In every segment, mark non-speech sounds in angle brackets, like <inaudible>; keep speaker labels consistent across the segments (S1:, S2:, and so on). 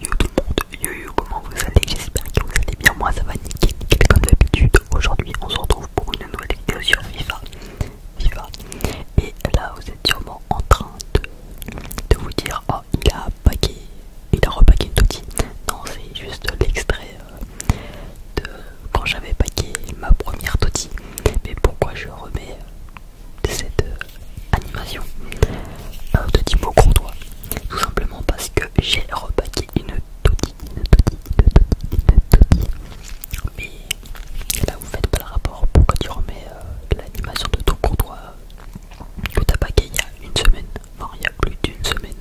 S1: Yo tout le monde, yo yo comment vous allez, j'espère que vous allez bien, moi ça va nickel comme d'habitude Aujourd'hui on se retrouve pour une nouvelle vidéo sur FIFA FIFA Et là vous êtes sûrement en train de, vous dire Oh il a paqué, il a Non c'est juste l'extrait euh, de quand j'avais paqué ma première toti Mais pourquoi je remets euh, de cette euh, animation de Timo Courtois, tout simplement parce que j'ai repaqué une toti, une toti une une Mais là, vous faites pas le rapport. Pourquoi tu remets euh, l'animation de ton Courtois que euh, t'as paqué il y a une semaine, enfin il y a plus d'une semaine.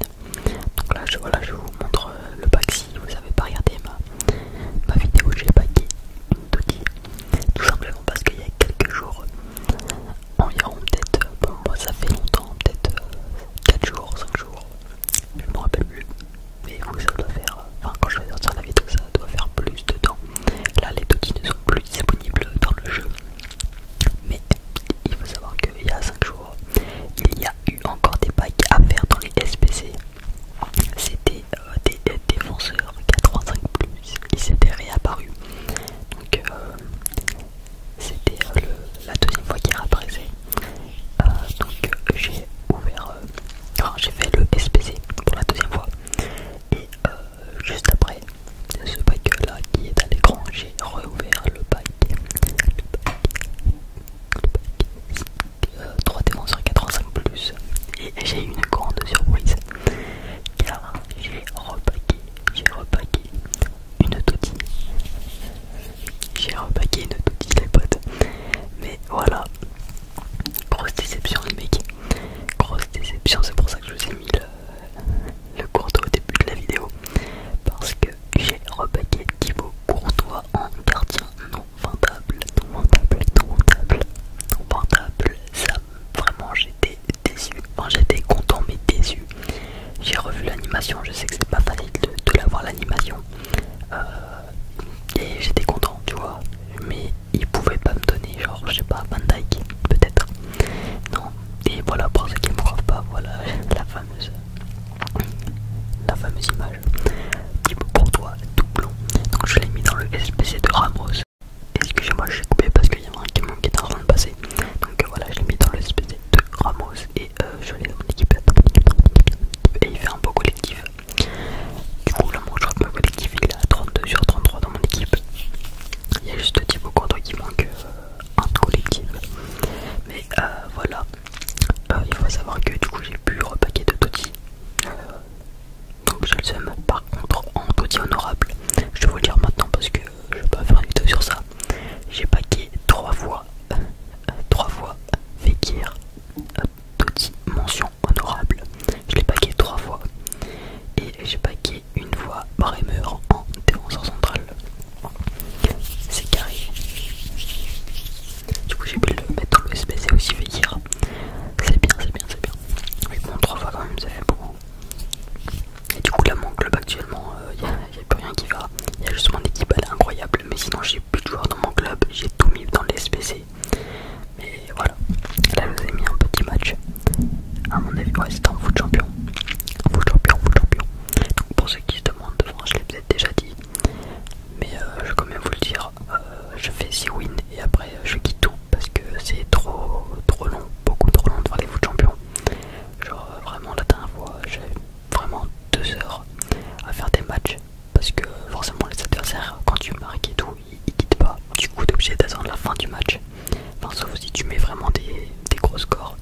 S1: Donc là, je, je vous montre le pack si vous avez pas regardé ma, ma vidéo, j'ai paqué une tout simplement parce qu'il y a quelques jours environ peut-être, moi ça fait longtemps, peut-être 4 euh, jours, 5 jours, je me rappelle plus, mais vous, ça doit faire, enfin quand je vais sortir la vidéo ça doit faire plus de temps, là les qui ne sont plus disponibles dans le jeu, mais il faut savoir qu'il y a 5 jours, il y a eu encore des packs à faire dans les SPC, c'était euh, des, des défenseurs 85+, ils s'étaient réapparus, donc euh, c'était euh, la deuxième fois qu'il a euh, donc j'ai ouvert, j'ai fait le SPC pour la deuxième fois. Et juste après ce pack là qui est à l'écran, j'ai réouvert le pack. Le pack, 3D sur plus. Et j'ai eu une grande surprise j'ai repaqué, j'ai repaqué une totie. J'ai repaqué une toutille les potes. Mais voilà, grosse déception les mecs. Grosse déception, c'est pour ça que je vous ai mis le, le courtois au début de la vidéo. Parce que j'ai repaqué pour Courtois en gardien non vendable, non vendable, non vendable, non vendable. Ça, vraiment, j'étais déçu. j'étais content, mais déçu. J'ai revu l'animation, je sais que c'est pas facile de, de voir l'animation. Euh, et j'étais content, tu vois. Mais ils pouvaient pas me donner, genre, je sais pas, Van Dyke, peut-être. Non, et voilà, pour ceux qui me croient pas, voilà <laughs> la fameuse, la fameuse image. Pour toi, doublon. Donc je l'ai mis dans le SPC de Ramos Excusez-moi, je suis coupé parce qu'il y a un qui manque dans le passé Donc euh, voilà, je l'ai mis dans le SPD de Ramos et euh, je l'ai dans mon équipe. Et il fait un beau collectif. Du coup, là, mon que collectif il est à 32 sur 33 dans mon équipe. Il y a juste de Courtois qui manquent en euh, collectif. Mais voilà, il faut savoir que du coup, j'ai pu repaquer de Toti. donc, je le seum. Par contre, en Toti honorable, je vais vous le dire maintenant parce que je vais pas faire une vidéo sur ça. J'ai paqué trois fois, euh, trois fois Vekir, Petite euh, mention honorable. Je l'ai paqué trois fois. Et j'ai paqué une fois Bremer en défenseur central. C'est carré. Du coup j'ai pu le mettre dans le c'est aussi Vekir. C'est bien, c'est bien, c'est bien. Mais bon trois fois quand même c'est bon et du coup, là, mon club actuellement, il euh, n'y a, plus rien qui va. Il y a justement des équipe, incroyables, incroyable. Mais sinon, j'ai plus de joueurs dans mon club. J'ai tout mis dans les SPC. Mais voilà, là, je vous ai mis un petit match. À mon avis, ouais, c'était en foot champion. Foot champion, foot champion. pour ceux qui se demandent, je l'ai peut-être déjà dit. Mais euh, je vais quand même vous le dire, euh, je fais 6 wins et après je quitte tout parce que c'est trop trop long, beaucoup trop long de faire les foot champions. Genre euh, vraiment la dernière fois j'ai vraiment deux heures à faire des matchs parce que forcément les adversaires quand tu marques et tout ils, quittent pas. Du coup t'es obligé d'attendre la fin du match. Enfin sauf si tu mets vraiment des, des gros scores.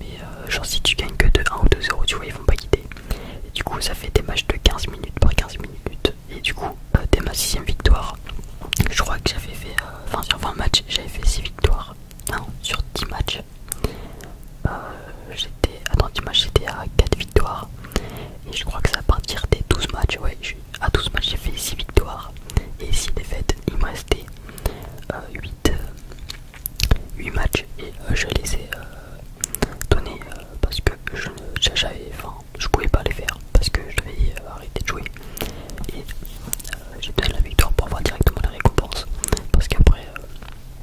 S1: Mais euh, genre si tu gagnes que de 1 ou 2 0 tu vois ils vont pas quitter. Et du coup ça fait des matchs de 15 minutes par 15 minutes. Et du coup t'es euh, dès ma sixième victoire je crois que j'avais fait sur 20 matchs j'avais fait 6 victoires non sur 10 euh, matchs j'étais à 4 victoires et je crois que ça à partir des 12 matchs ouais à 12 matchs j'ai fait 6 victoires et 6 défaites il me restait 8 euh, euh, matchs et je les ai donnés parce que je ne pouvais pas les faire parce que je devais arrêter de jouer et j'ai besoin de la victoire pour avoir directement la récompense. Parce qu'après,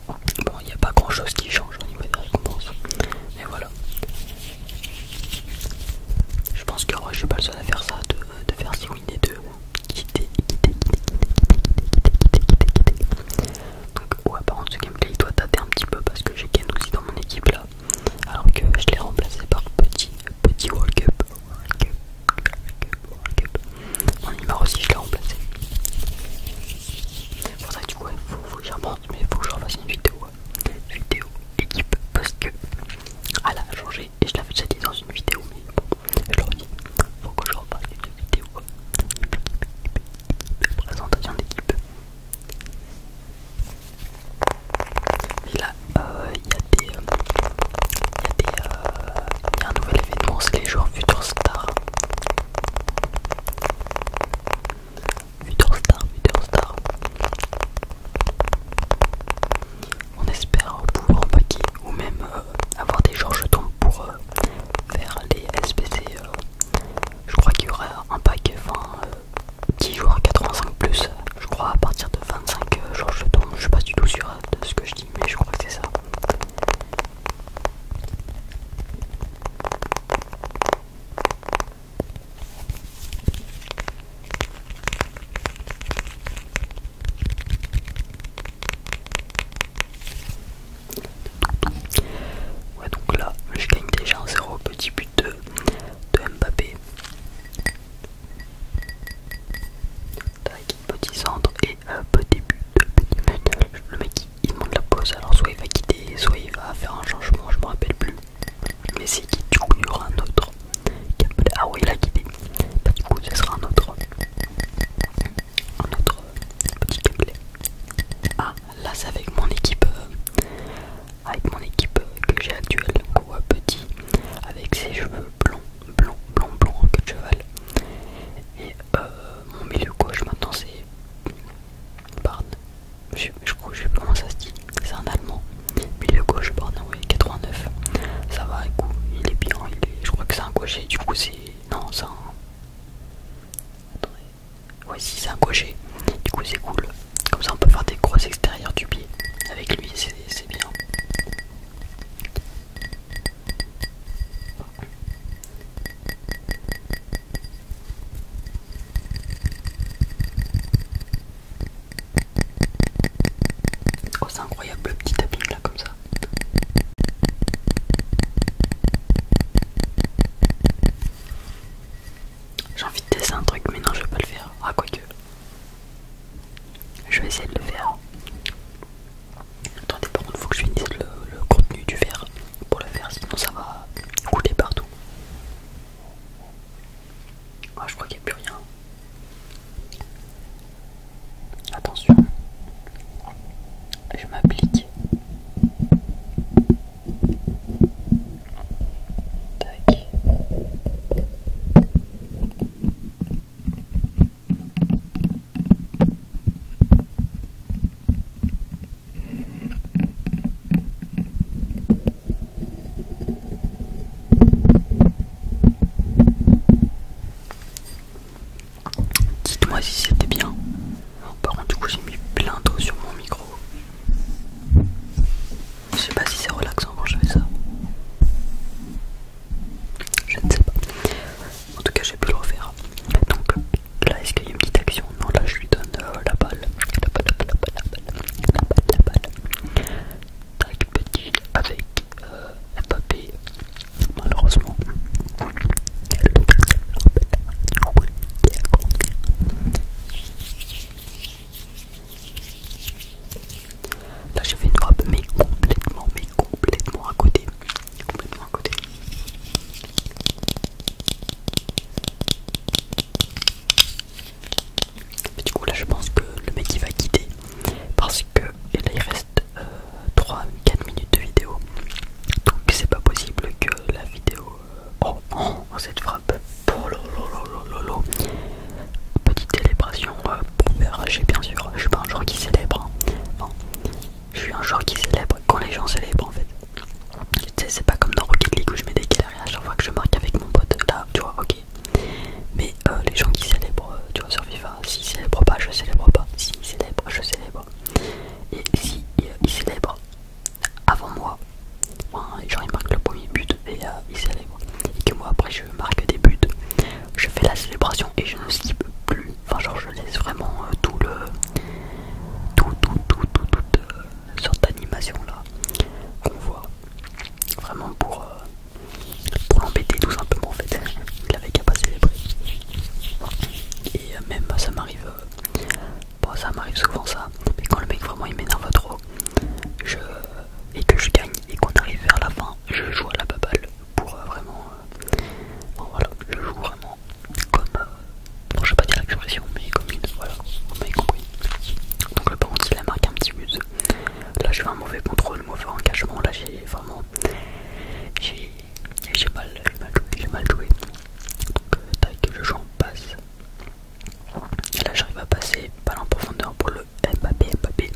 S1: bon, il n'y a pas grand chose qui change au niveau des récompenses. Mais voilà. Je pense que je n'ai pas le seul à faire ça, de, faire si win et de quitter, quitter, quitter, quitter, quitter, Donc, ouais, par contre, ce gameplay il doit tâter un petit peu parce que j'ai Ken aussi dans mon équipe là. Alors que je l'ai remplacé par Petit, petit World Cup. Mon numéro aussi je l'ai remplacé. du coup il faut que j'y remonte mais faut que je refasse une vidéo. Hein. équipe parce que elle ah a changé et je l'avais déjà dit dans une vidéo mais bon elle le redis. Faut que je repasse une vidéo. Présentation d'équipe il euh, euh, euh, y, a un nouvel événement, c'est les joueurs futur Star. Star, On espère pouvoir paquer ou même avoir des joueurs jetons pour faire les SPC. je crois qu'il y aura un pack 20 10 joueurs 85 plus je crois à partir de 25 jours euh, je tombe, je suis pas du tout sûr de ce que je dis mais je crois que c'est ça. Ouais donc là je gagne déjà en zéro petit but de, Mbappé petit centre et petit but, petit but. Le mec il monte la pause, alors soit il va quitter, soit il va faire un changement, je me rappelle plus. Mais c'est qui du coup il y aura un autre. Ah oui, il a quitté. Bah, du coup, ce sera un autre. petit câble Ah, là c'est avec mon équipe. Euh, avec mon équipe que j'ai actuelle, ou petit, avec ses cheveux blonds blanc, blanc, blanc en de cheval. Et euh, mon milieu gauche maintenant c'est Barn. Je, crois je sais pas comment ça se dit. C'est un allemand. Milieu gauche Barn, oui, 89. Ça va, écoute, il est bien. je crois que c'est un gaucher. Du coup, c'est. Non, c'est un. Attendez. si c'est un gaucher. Du coup, c'est cool. Comme ça, on peut faire des grosses extérieures du pied. Avec lui, c'est bien. Oh c'est incroyable le petit tapping là comme ça J'ai envie de tester un truc mais non je vais pas le faire Ah que je vais essayer de le faire. Attendez, par contre, il faut que je finisse le, contenu du verre pour le faire, sinon ça va couler partout. Ah, je crois qu'il n'y a plus rien. Attention, je m'applique. Tac. Dites-moi si c'était bien. Par contre, du coup, j'ai mis plein d'eau sur mon micro. Je sais pas si c'est relaxant quand je fais ça. Je ne sais pas. En tout cas, j'ai pu le refaire. Donc là, est-ce qu'il y a une petite action Non, là, je lui donne euh, la balle. La balle, la balle, la balle, la balle, la balle. Tac, petit avec un euh, papier. Malheureusement. Là j'ai fait une frappe mais complètement mais complètement à côté. Complètement à côté. du coup là je pense que le mec il va quitter parce que là il reste 3-4 euh, minutes de vidéo. Donc c'est pas possible que la vidéo... Euh, oh, oh, cette frappe. Pour oh Petite célébration je ne bien sûr, je suis pas un joueur qui célèbre. Hein. je suis un joueur qui célèbre quand les gens célèbrent en fait. Tu sais, c'est pas comme dans Rocket League où je mets des galeries à chaque fois que je marque avec mon pote. Là, tu vois, ok. Mais euh, les gens qui célèbrent, euh, tu vois, sur si s'ils célèbrent pas, je célèbre pas. si S'ils célèbrent, je célèbre. Et si euh, ils célèbrent avant moi, genre ils marquent le premier but et ils célèbrent. Et que moi après je marque des buts, je fais la célébration et je ne skip plus. Enfin, genre, je laisse vraiment euh, tout le. tout, tout, tout, tout, toute euh, sorte d'animation là qu'on voit. Vraiment pour, euh, pour l'embêter tout simplement en fait. Il avait qu'à pas prix. Et même bah, ça m'arrive. ça m'arrive souvent ça. Mais quand le mec vraiment il m'énerve trop, je. et que je gagne et qu'on arrive vers la fin, je joue à la baballe pour vraiment. Euh, voilà, je joue vraiment comme. Euh, bon, je vais pas dire l'expression, mais comme une. Voilà, Donc, le par contre, il a marqué un petit muse Là, j'ai eu un mauvais contrôle, mauvais engagement. Là, j'ai vraiment. J'ai mal, joué, Donc, euh, tac, je joue en passe. Et là, j'arrive à passer pas en profondeur pour le Mbappé Mbappé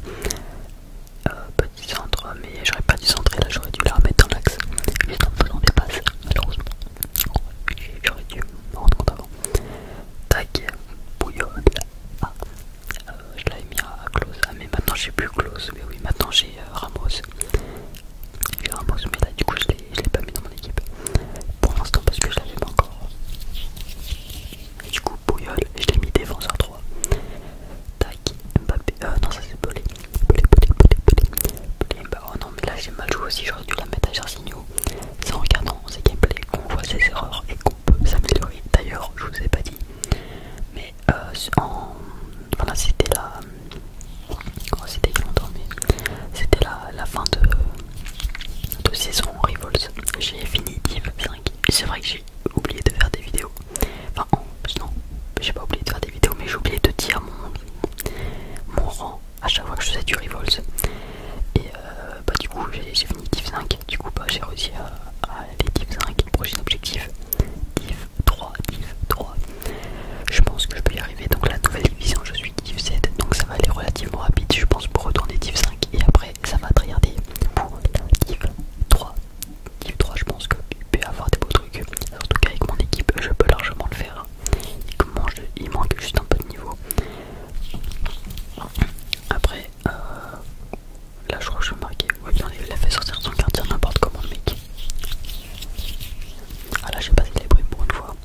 S1: euh, petit centre mais j'aurais pas dû centrer là j'aurais dû la remettre dans l'axe juste en faisant des passes malheureusement j'aurais dû me rendre compte avant tac Bouillon ah, euh, je l'avais mis à, close ah, mais maintenant j'ai plus close mais oui maintenant j'ai euh, Ramos j'ai Ramos mais là du coup je l'ai pas mis dans mon équipe pour l'instant parce que je l'avais pas encore et du coup bouillol je l'ai mis défenseur 3 tac euh, non, ça c'est Pelé. Pelé, Pelé, Pelé, Pelé. Bah, oh non, mais là j'ai mal joué aussi. J'aurais dû la mettre à Jarsigno. C'est en regardant qu'il gameplays qu'on voit ses erreurs et qu'on peut s'améliorer. D'ailleurs, je vous ai pas dit, mais en euh, en... voilà, c'était la. Oh, c'était il y a c'était la, la fin de, de saison Rivals. J'ai fini Div 5. C'est vrai que j'ai oublié de faire des vidéos Enfin, en, oh, non, j'ai pas oublié de faire des vidéos, mais j'ai oublié de dire mon, mon rang à chaque fois que je faisais du Revolts. Et euh, bah, du coup, j'ai fini div 5. Du coup, bah, j'ai réussi à, aller div 5. Prochain objectif div 3. 3. Je pense que je peux y arriver. Donc, la nouvelle division, je suis div 7. Donc, ça va aller relativement rapide, je pense, pour retourner div 5. Et après, ça va regarder pour la div 3 eu 3, je pense qu'il peut y avoir des beaux trucs. En tout cas, avec mon équipe, je peux largement le faire. Il, manque juste un peu de niveau. Après, euh, là, je crois que je vais marquer. Ouais, bien, il a fait sortir son quartier n'importe comment, le mec. Ah là, j'ai pas célébré pour une fois.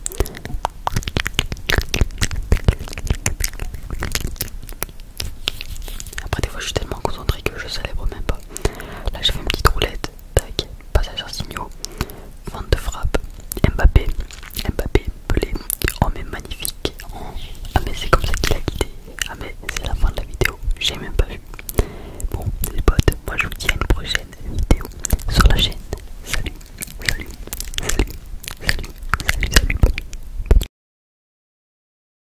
S1: Après, des fois, je suis tellement concentré que je célèbre même pas. Là, j'ai fait une petite roulette. Tac, passage signaux, vente de frappe. Mbappé, Mbappé, Pelé. Oh, mais magnifique. Ah, mais c'est comme ça qu'il a quitté. Ah, mais c'est la fin de la vidéo. J'ai même pas vu. Bon, les potes, moi je vous dis à une prochaine vidéo sur la chaîne. Salut, salut, salut, salut, salut, salut.